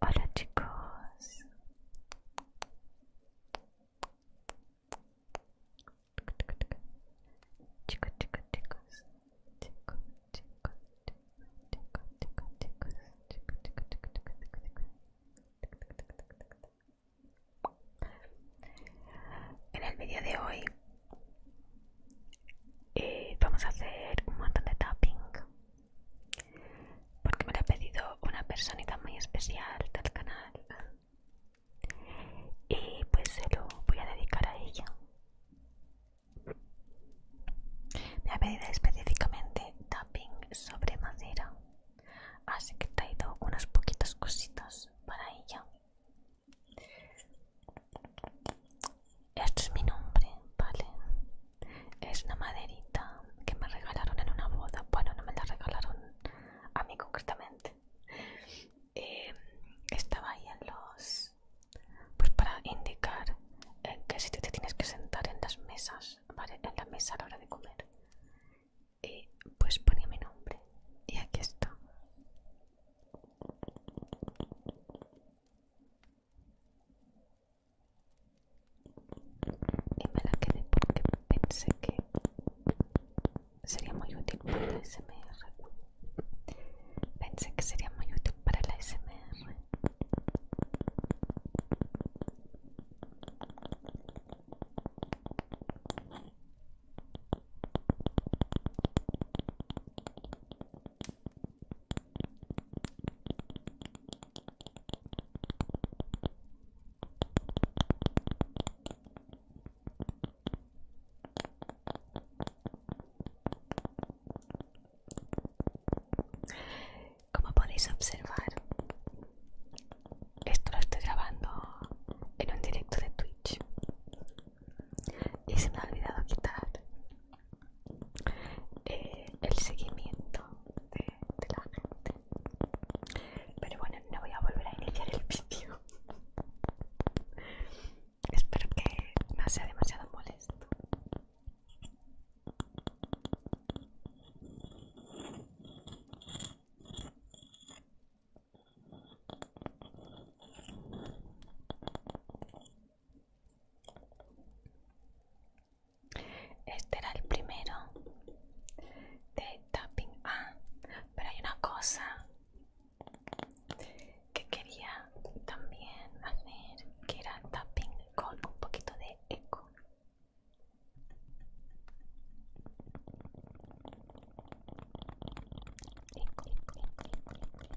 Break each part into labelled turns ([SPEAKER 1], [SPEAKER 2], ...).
[SPEAKER 1] Hola chicos. Chicos, chicos, chicos. Chicos, chicos, chicos, chicos, chicos, chicos, En el vídeo de hoy eh, vamos a hacer un montón de tapping porque me lo ha pedido una personita muy especial del canal y pues se lo voy a dedicar a ella me ha pedido específicamente tapping sobre madera así que he traído unas poquitas cositas para ella esto es mi nombre, vale es una maderita que me regalaron en una boda. Bueno, no me la regalaron a mí concretamente. Eh, estaba ahí en los... Pues para indicar eh, que si te tienes que sentar en las mesas, ¿vale? En la mesa a la hora de comer. Y pues ponía mi nombre. Y aquí está y me la quedé porque pensé que sería muy útil para la SMR. Pensé que sería muy útil para la SMR. Como podéis observar, esto lo estoy grabando en un directo de Twitch y se me ha olvidado quitar eh, el seguimiento de, la gente. Pero bueno, no voy a volver a iniciar el vídeo. Espero que no sea demasiado molesto. Este era el primero de tapping. Ah, pero hay una cosa que quería también hacer, que era tapping con un poquito de eco. eco, eco, eco, eco.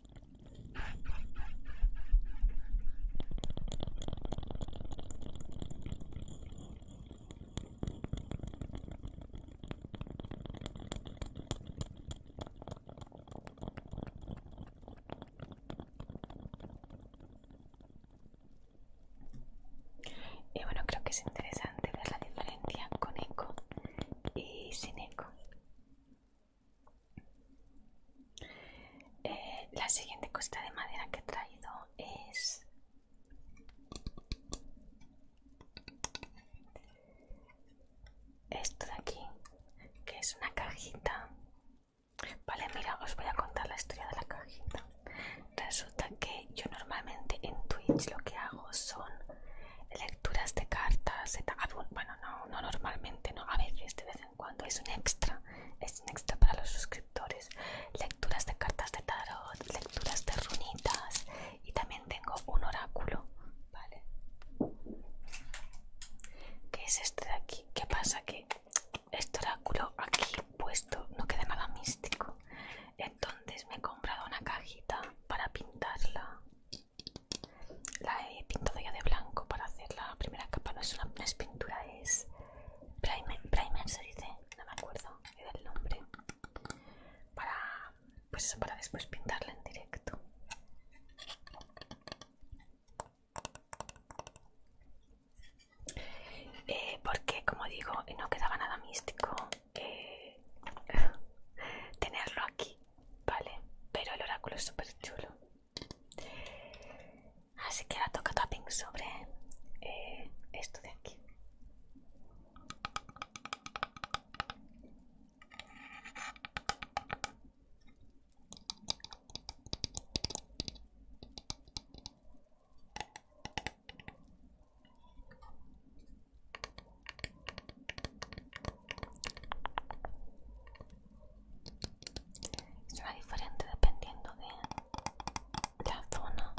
[SPEAKER 1] Y bueno, creo que es interesante ver la diferencia con eco y sin eco. Eh, la siguiente cosita de madera que he traído es esto de aquí, que es una cajita. Vale, mira, os voy a contar la historia de la cajita. Resulta que yo normalmente en Twitch lo que hago son lecturas de cartas, bueno, no, normalmente, no, a veces, de vez en cuando, es un extra, es un extra para los suscriptores, lecturas de cartas de tarot, lecturas de runitas y también tengo un oráculo, ¿vale? Que es este de aquí, ¿qué pasa? Que este oráculo aquí puesto no queda nada místico, entonces me he comprado una cajita para pintarla la he pintado ya de blanco para hacer la primera capa. No es una pintura, es primer, se dice, no me acuerdo del el nombre. Para, pues para después pintarla en directo. Eh, porque, como digo, no quedaba nada místico eh, tenerlo aquí, ¿vale? Pero el oráculo es súper chulo. Así que ahora toca tapping sobre eh, esto de aquí. Será diferente dependiendo de la zona.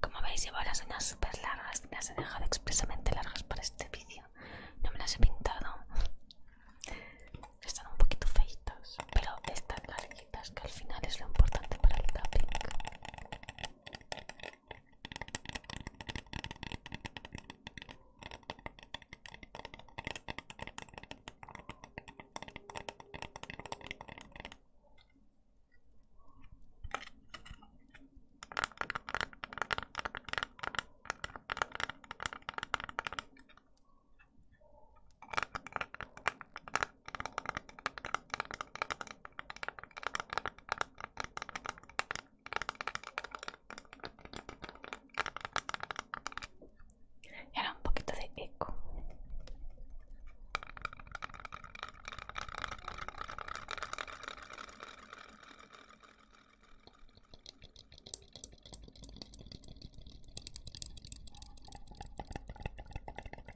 [SPEAKER 1] Como veis llevo las uñas super largas, las he dejado expresamente largas para este vídeo. No me las he pintado. Están un poquito feitas, pero estas que al final es lo importante para el tapping era un poquito de eco.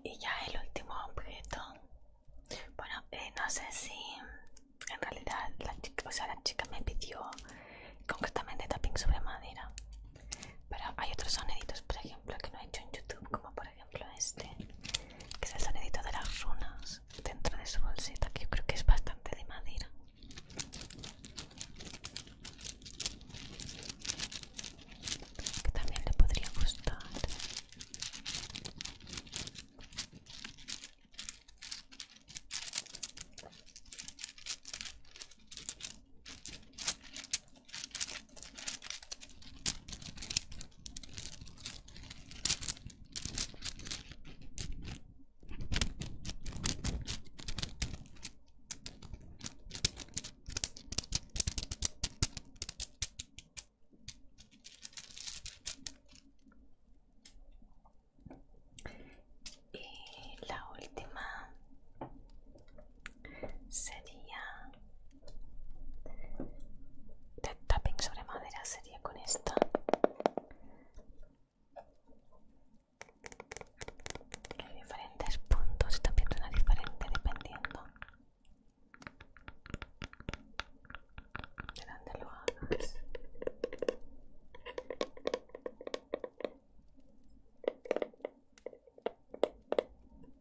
[SPEAKER 1] y ya el último objeto. Bueno, eh, no sé si en realidad la chica, o sea, la chica me pidió concretamente tapping sobre madera. Pero hay otros soniditos, por ejemplo, que no he hecho en YouTube, como por ejemplo ejemplo este, que es el sonidito de las runas dentro de su bolsita, que yo creo que es bastante de madera. Que también le podría gustar. Y la última sería de tapping sobre madera sería con esta En diferentes puntos también una diferente dependiendo de dónde lo hagas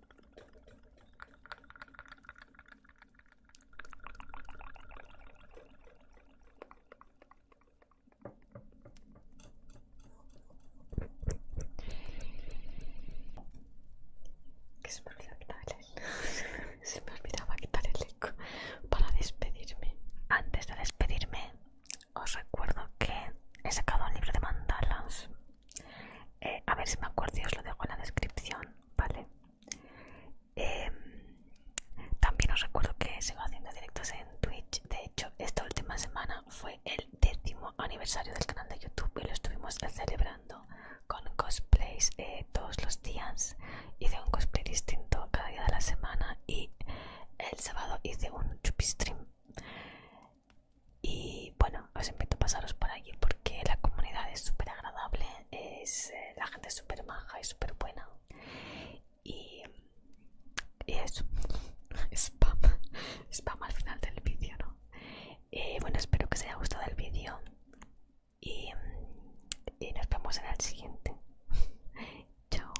[SPEAKER 1] se me se me olvidaba quitar el eco para despedirme. Antes de despedirme, os recuerdo que he sacado un libro de mandalas eh, a ver si me acuerdo y os lo dejo en la descripción, ¿vale? Em, también os recuerdo que sigo haciendo directos en Twitch. De hecho, esta última semana fue el décimo aniversario del canal de YouTube y lo estuvimos celebrando con cosplays eh, todos los días. Hice un cosplay distinto cada día de la semana y el sábado hice un chupi stream. Y bueno, os invito a pasaros por allí porque la comunidad es súper agradable, es, eh, la gente es súper maja y súper buena. Y, eso, spam, spam al final del vídeo, ¿no? Y eh, bueno, espero que os haya gustado el vídeo y, nos vemos en el siguiente. chao.